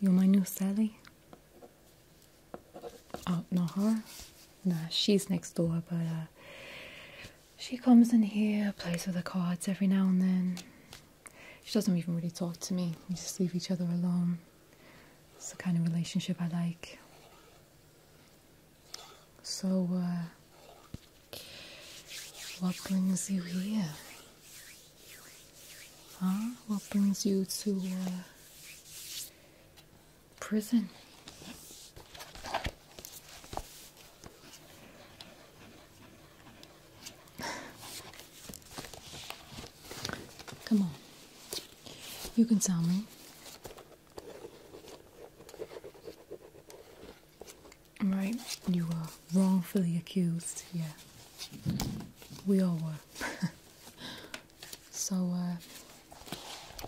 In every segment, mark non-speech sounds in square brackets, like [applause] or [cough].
You're my new Sally? Oh, not her? Nah, she's next door, but uh, she comes in here, plays with the cards every now and then. She doesn't even really talk to me, we just leave each other alone. It's the kind of relationship I like. So, uh, what brings you here? Huh? What brings you to uh, prison? Come on. You can tell me. Right, you were wrongfully accused, yeah. We all were. [laughs] so, uh,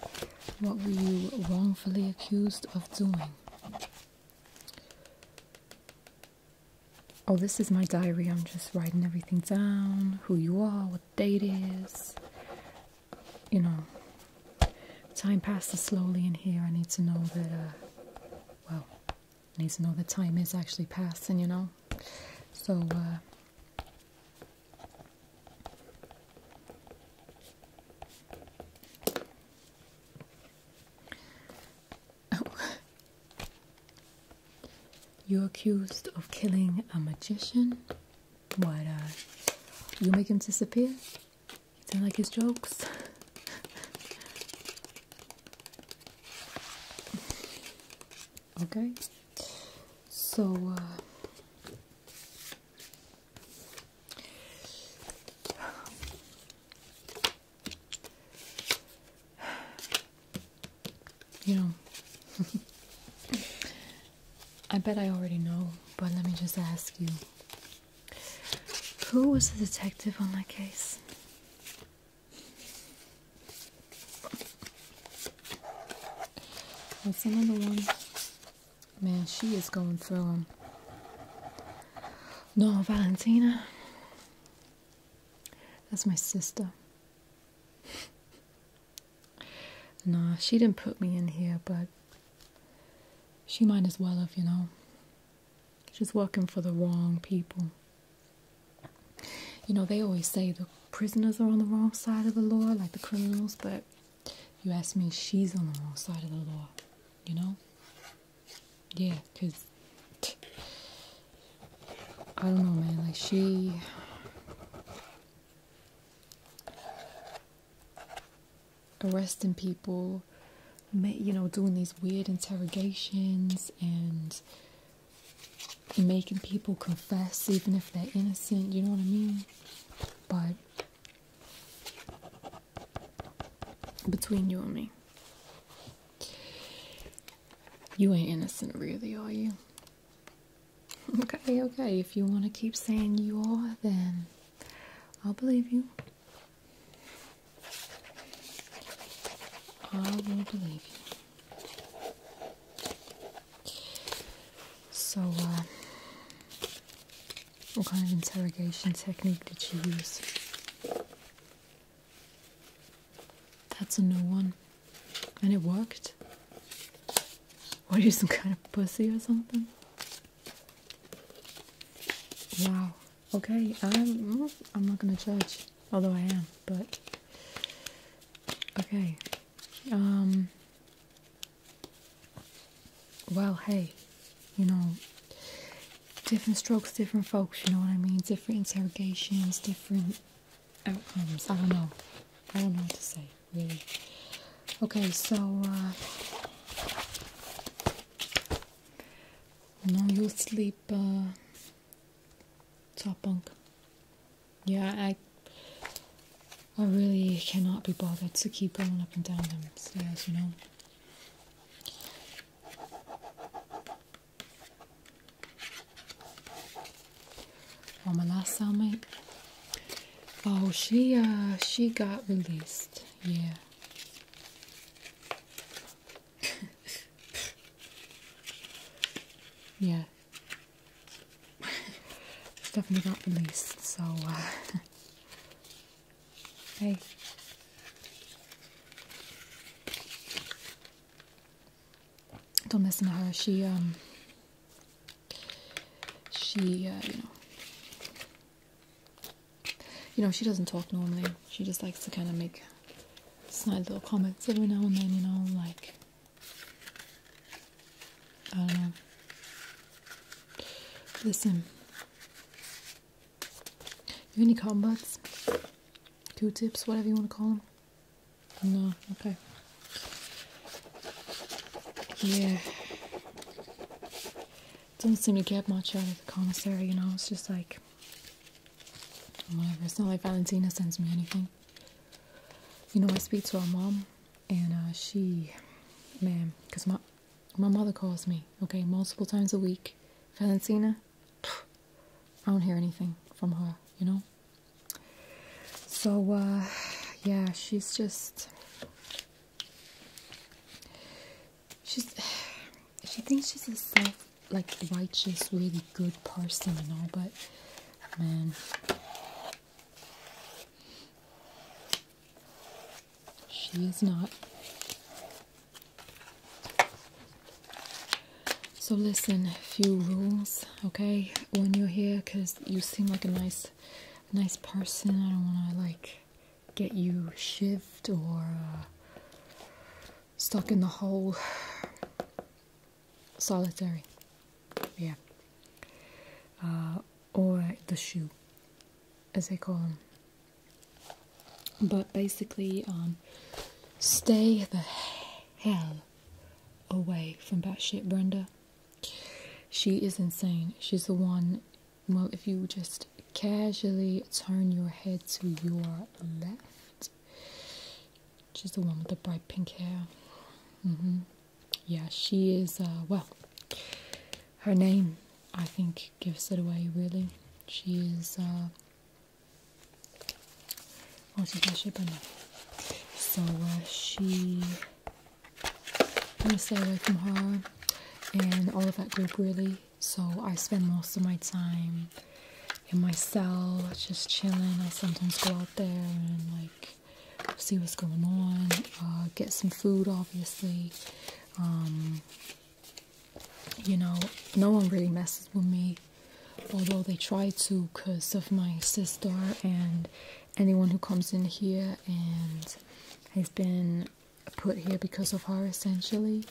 what were you wrongfully accused of doing? Oh, this is my diary. I'm just writing everything down who you are, what date is. You know, time passes slowly in here. I need to know that, uh, well, I need to know the time is actually passing, you know. So, uh, [laughs] You're accused of killing a magician? What, uh, you make him disappear? You don't like his jokes? [laughs] Okay, so uh, [sighs] you know, [laughs] I bet I already know, but let me just ask you who was the detective on that case? That's another one. Man, she is going through them. No, Valentina. That's my sister. nah, she didn't put me in here, but she might as well have, you know. She's working for the wrong people. You know, they always say the prisoners are on the wrong side of the law, like the criminals, but you ask me, she's on the wrong side of the law, you know? Yeah, because I don't know, man, like she. Arresting people, you know, doing these weird interrogations and making people confess even if they're innocent, you know what I mean? But between you and me, you ain't innocent really, are you? Okay, okay, if you want to keep saying you are, then I'll believe you. I will believe you. So, uh, what kind of interrogation technique did she use? That's a new one. And it worked? Were you, some kind of pussy or something? Wow. Okay, I'm, I'm not gonna judge. Although I am, but okay. Um, well, hey, you know, different strokes, different folks, you know what I mean? Different interrogations, different outcomes. I don't know. I don't know what to say, really. Okay, so, uh, no, you'll sleep, uh, top bunk. Yeah, I I really cannot be bothered to keep going up and down them stairs, you know. Well, my last cellmate, oh, she uh, she got released. Yeah, [laughs] yeah. It's definitely not released, so uh, [laughs] hey. Don't mess with her. She um she uh, you know you know she doesn't talk normally. She just likes to kind of make snide little comments every now and then, you know, like I don't know. Listen. You any cotton Q-tips, whatever you want to call them? No, okay. Yeah. Doesn't seem to get much out of the commissary, you know, it's just like Whatever. It's not like Valentina sends me anything. You know, I speak to our mom, and uh, she, ma'am, because my my mother calls me, okay, multiple times a week. Valentina, I don't hear anything from her, you know? So, uh, yeah, she's just. She's. [sighs] She thinks she's a self like righteous, really good person and all, but man. She is not. So listen, a few rules, okay, when you're here, because you seem like a nice, nice person. I don't want to like get you shivved or uh, stuck in the hole, solitary, yeah, uh, or the shoe, as they call them. But basically, um, stay the hell away from that shit, Brenda. She is insane. She's the one. Well, if you just casually turn your head to your left She's the one with the bright pink hair. Mm-hmm. Yeah, she is, uh, well, her name, I think, gives it away, really. She is, uh, oh, So, uh, she, let me gonna stay away from her and all of that group, really. So I spend most of my time in my cell, just chilling. I sometimes go out there and like see what's going on, uh, get some food, obviously. Um, you know, no one really messes with me, although they try to because of my sister and anyone who comes in here and has been put here because of her essentially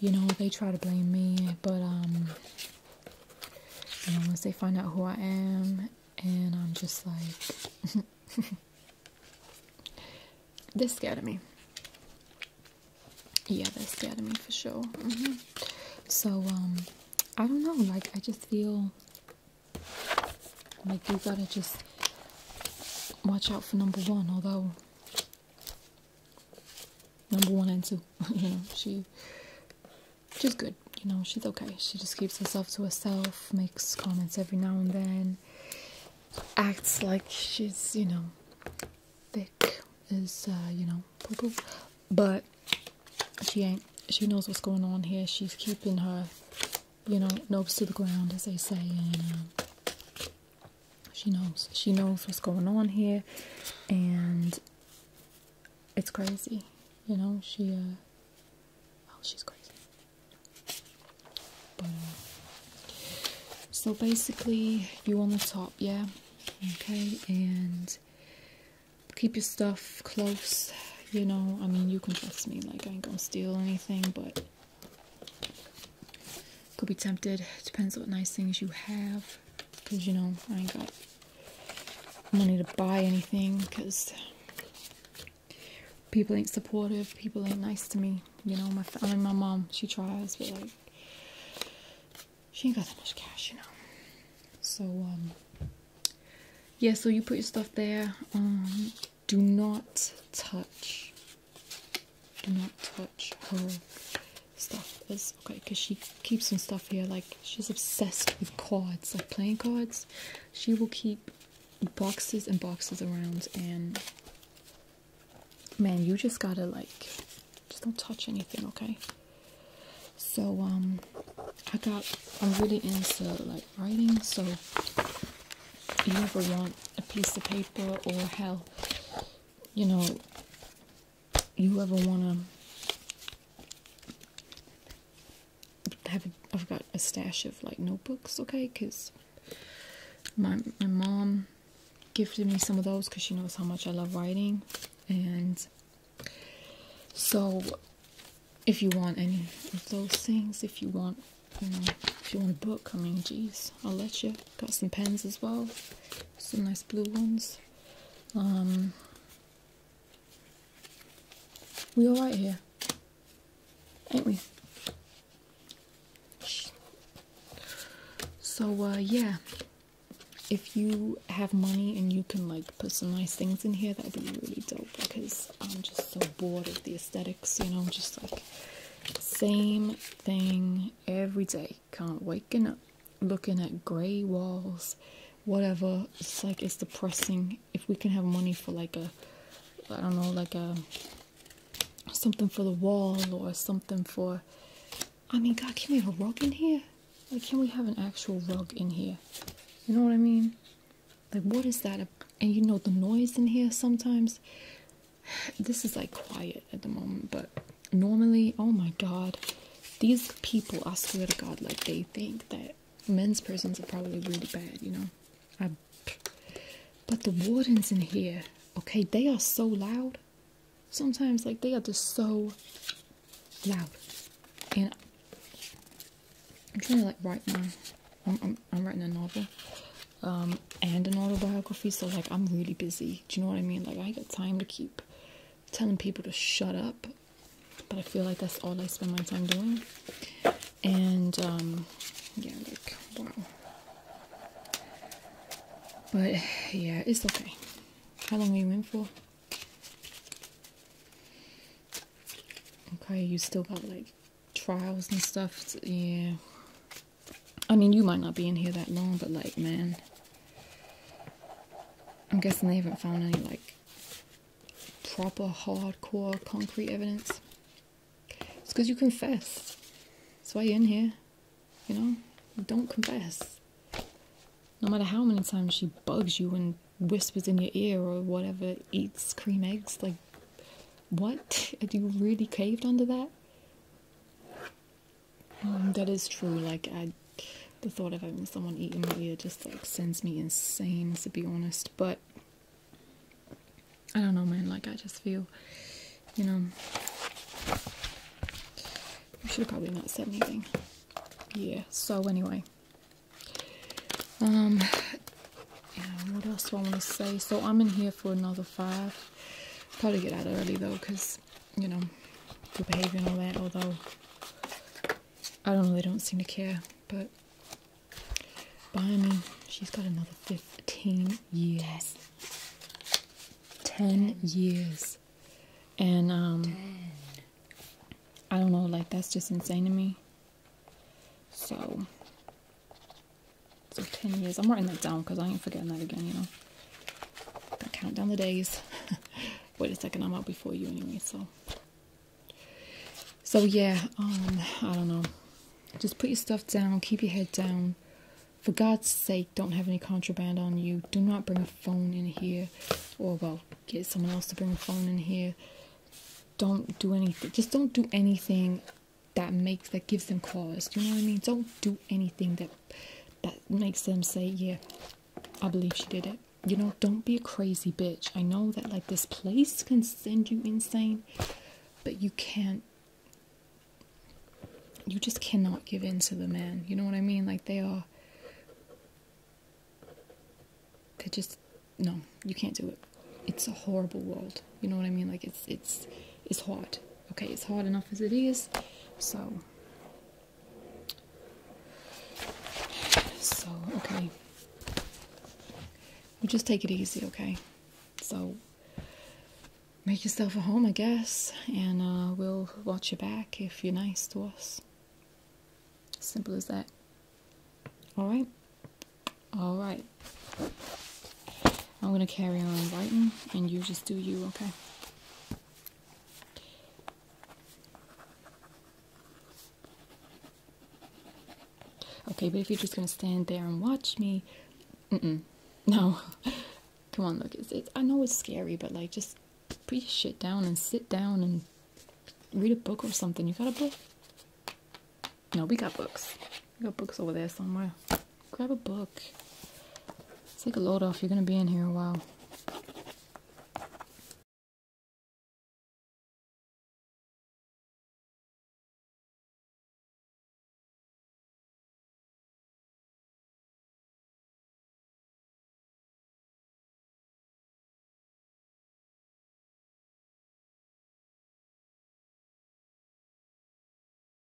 you know, they try to blame me, but um, you once they find out who I am, and I'm just like, [laughs] they're scared of me. Yeah, they're scared of me for sure. Mm-hmm. So um, I don't know. Like I just feel like you gotta just watch out for number one. Although number one and two. [laughs] you know, she she's good. You know, she's okay. She just keeps herself to herself, makes comments every now and then, acts like she's you know thick as uh, you know but she ain't. She knows what's going on here. She's keeping her you know nose to the ground, as they say, uh, she knows she knows what's going on here and it's crazy you know she uh oh she's crazy uh, so basically you on the top yeah okay and keep your stuff close you know i mean you can trust me like i ain't gonna steal anything but could be tempted. Depends what nice things you have. Because, you know, I ain't got money to buy anything. Because people ain't supportive. People ain't nice to me. You know, my, I mean, my mom, she tries. But, like, she ain't got that much cash, you know. So, um, yeah, so you put your stuff there. Um, do not touch do not touch her stuff okay because she keeps some stuff here like she's obsessed with cards like playing cards she will keep boxes and boxes around and man you just gotta like just don't touch anything okay so um i got i'm really into like writing so you ever want a piece of paper or help? you know you ever want to have, i I've got a stash of like notebooks, okay? Because my my mom gifted me some of those because she knows how much I love writing, and so if you want any of those things, if you want, you know, if you want a book, I mean, geez, I'll let you. Got some pens as well some nice blue ones. Um, we all right here, ain't we? So uh, yeah, if you have money and you can like put some nice things in here, that would be really dope because I'm just so bored of the aesthetics. You know, just like same thing every day can't waking up looking at gray walls whatever it's like it's depressing if we can have money for like a i don't know like a something for the wall or something for i mean god can we have a rug in here like can we have an actual rug in here you know what i mean like what is that and you know the noise in here sometimes [sighs] this is like quiet at the moment but normally, oh my god, these people, I swear to god, like they think that men's prisons are probably really bad, you know. but the wardens in here, okay, they are so loud. Sometimes, like, they are just so loud. And I'm trying to, like, write my. I'm, I'm, I'm writing a novel. Um, and an autobiography, so like I'm really busy. Do you know what I mean? Like I got time to keep telling people to shut up, but I feel like that's all I spend my time doing. And um, yeah, like wow. But yeah, it's okay. How long we you for? Okay, you still got like trials and stuff. yeah. I mean, you might not be in here that long, but like, man, I'm guessing they haven't found any like proper hardcore concrete evidence. It's because you confess. That's why you're in here. You know, don't confess. No matter how many times she bugs you and whispers in your ear or whatever, eats cream eggs, like, what? [laughs] Have you really caved under that? Mm, that is true. Like the thought of having someone eat in my ear just like sends me insane, to be honest. But I don't know, man. Like I just feel, you know, I should probably not said anything. Yeah. So anyway, um, and what else do I want to say? So I'm in here for another five. Probably get out early though, cause you know, good behaviour and all that, although I don't know, they don't seem to care. But by me, she's got another 15 years. 10 years. And, um, I don't know, like, that's just insane to me. So, so 10 years. I'm writing that down because I ain't forgetting that again, you know. count down the days. [laughs] Wait a second, I'm out before you anyway, so. So yeah, um, I don't know. Just put your stuff down, keep your head down. For God's sake, don't have any contraband on you. Do not bring a phone in here. Or, well, get someone else to bring a phone in here. Don't do anything. Just don't do anything that makes, that gives them cause. you know what I mean? Don't do anything that that makes them say, yeah, I believe she did it. You know, don't be a crazy bitch. I know that like this place can send you insane, but you can't you just cannot give in to the man. You know what I mean? Like they are they just no, you can't do it. It's a horrible world. You know what I mean? Like it's it's it's hard. Okay, it's hard enough as it is. So, so okay. We'll just take it easy, okay? So, make yourself a home, I guess, and uh, we'll watch you back if you're nice to us. Simple as that. All right? All right. I'm gonna carry on writing and you just do you, okay? Okay, but if you're just gonna stand there and watch me, [laughs] no. Come on, look, I know it's scary, but like just put your shit down and sit down and read a book or something. You got a book? No, we got books. I got books over there somewhere. Grab a book. Take a load off. You're going to be in here a while.